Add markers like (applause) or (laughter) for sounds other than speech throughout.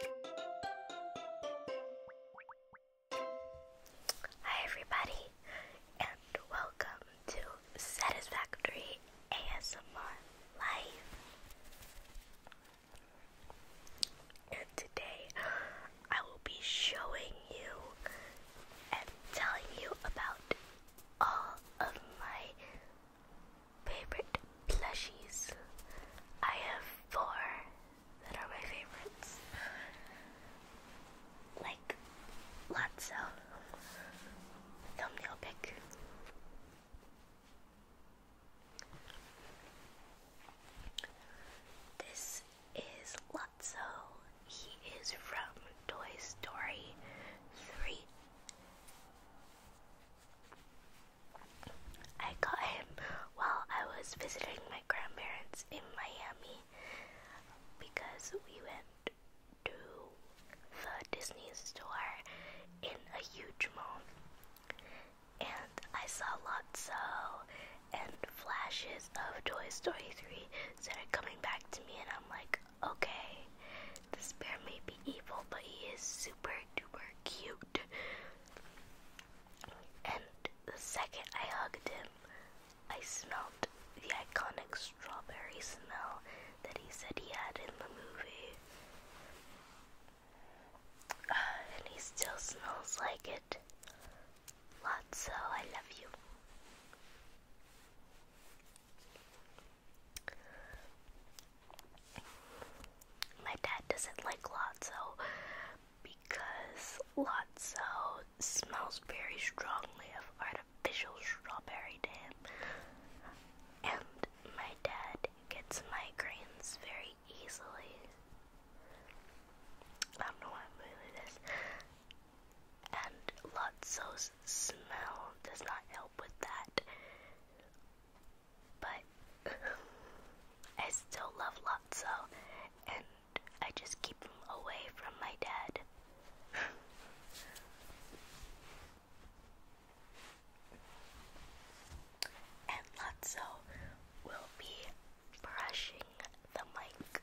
Hi, everybody, and welcome to Satisfactory ASMR Live. And today I will be showing you and telling you about all of my Favorite plushies. I have four that are my favorites. Like lots thumbnail pick. This is Lotso. He is from Toy Story 3. I got him while I was visiting my grandparents in Miami because we went to the Disney store in a huge mall. And I saw Lotso and flashes of Toy Story 3 started coming back to me, and I'm like, okay, this bear may be evil, but he is super duper cute. And the second I hugged him, I smelled the iconic strawberry smell that he said he had in the movie. Uh, and he still smells like it. Lotsa, I love you. My dad doesn't like Lotso because Lotso smells very strongly of artificial strawberry jam, and my dad gets migraines very easily. I don't know why I'm doing this. And Lotso's smell does not help with that. But (laughs) I still love Lotso, and I just keep him away from my dad. (laughs) and Lotso will be brushing the mic.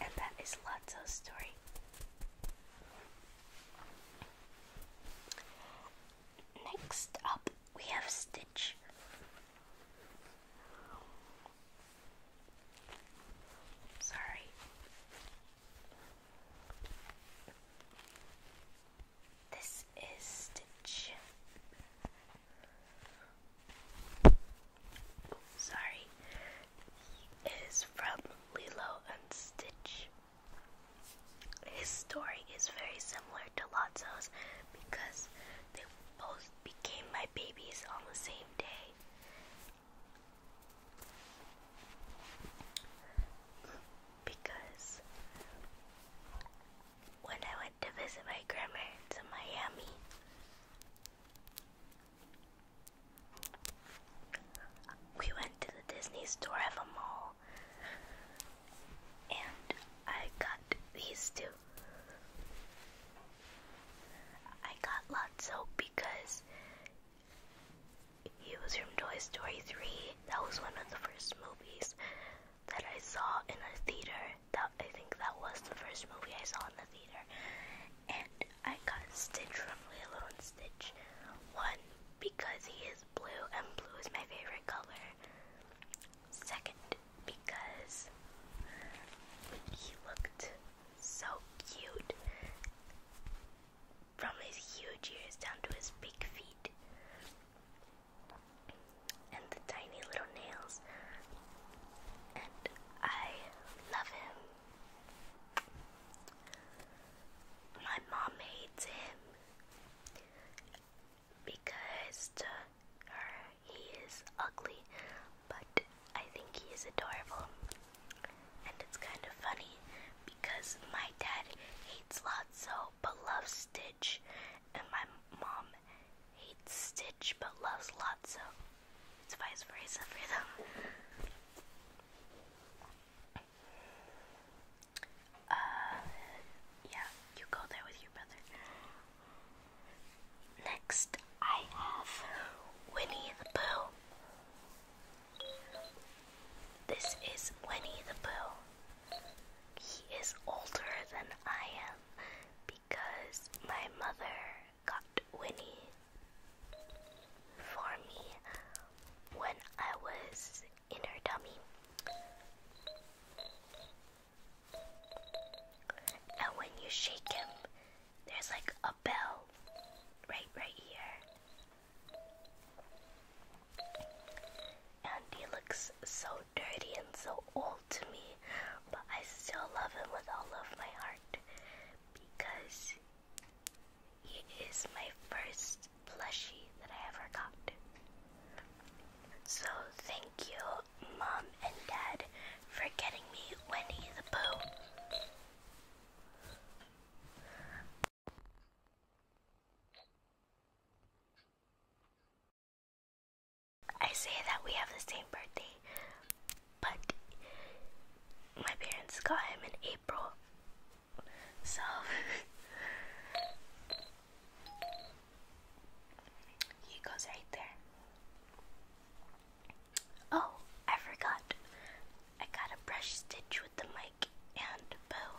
And that is Lotso's story. Next up, we have Stitch. Sorry. This is Stitch. Sorry. It is from Lilo and Stitch. His story is very similar to Lotso's because they both became my babies on the same day. Because when I went to visit my grandparents in Miami, we went to the Disney store at a mall and I got these two. I got Lotso because he was from Toy Story 3. That was one of the first movies that I saw in a theater. That I think that was the first movie I saw in the theater. And I got Stitch from Lilo and Stitch. One, because he is blue, and blue is my favorite color. Second, because he looked so cute from his huge ears down to his big feet. And the tiny little nails. And I love him. My mom hates him because to her he is ugly, but I think he is adorable. And it's kind of funny because my dad hates Lotso but loves Stitch, and my mom hates Stitch but loves Lotso. It's vice versa for them. Uh, yeah, you go there with your brother. Next, I have Winnie the Pooh. This is Winnie the Pooh. He is older than I am because my mother got Winnie for me when I was in her tummy. And when you shake him, there's like a bell right right here. And he looks so dirty and so old to me, but I still love him with all of my heart because it is my first plushie that I ever got. So thank you, Mom and Dad, for getting me Winnie the Pooh. I say that we have the same birthday, but my parents got him in April. So (laughs) he goes right there. Oh, I forgot. I got a brush stitch with the mic and bow.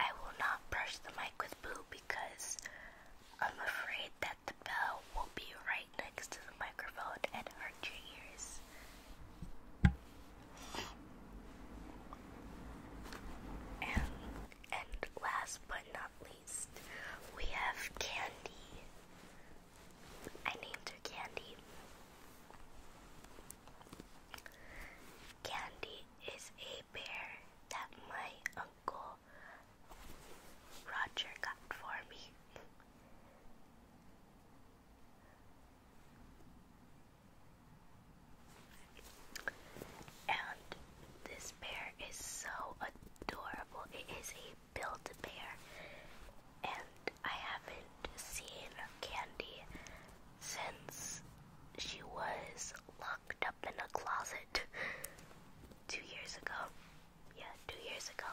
I will not brush the mic with boo because I'm afraid that the bell will be right next to the microphone and hurt your ears. And, and last but not least, we have Candy. I named her Candy. Candy is a bear that my uncle Roger got for me. And this bear is so adorable. It is a Build-A-Bear. And I haven't seen Candy since she was locked up in a closet two years ago. Yeah, two years ago.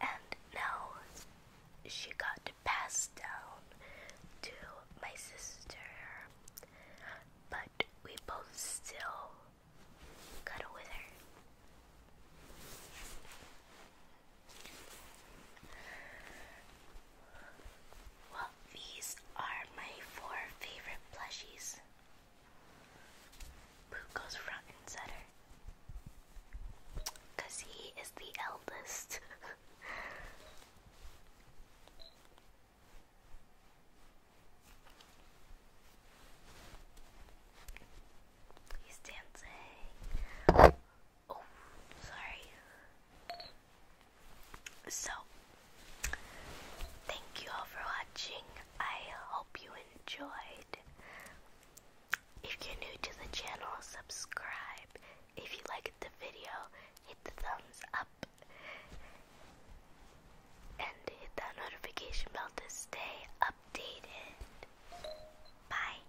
And now she got passed down to my sister. But we both still cuddle with her. Well, these are my four favorite plushies. Puko's front and center. Cause he is the eldest. (laughs) He's dancing. Oh, sorry. So, thank you all for watching. I hope you enjoyed. If you're new to the channel, subscribe. If you liked the video, hit the thumbs up and hit that notification bell to stay updated. Bye.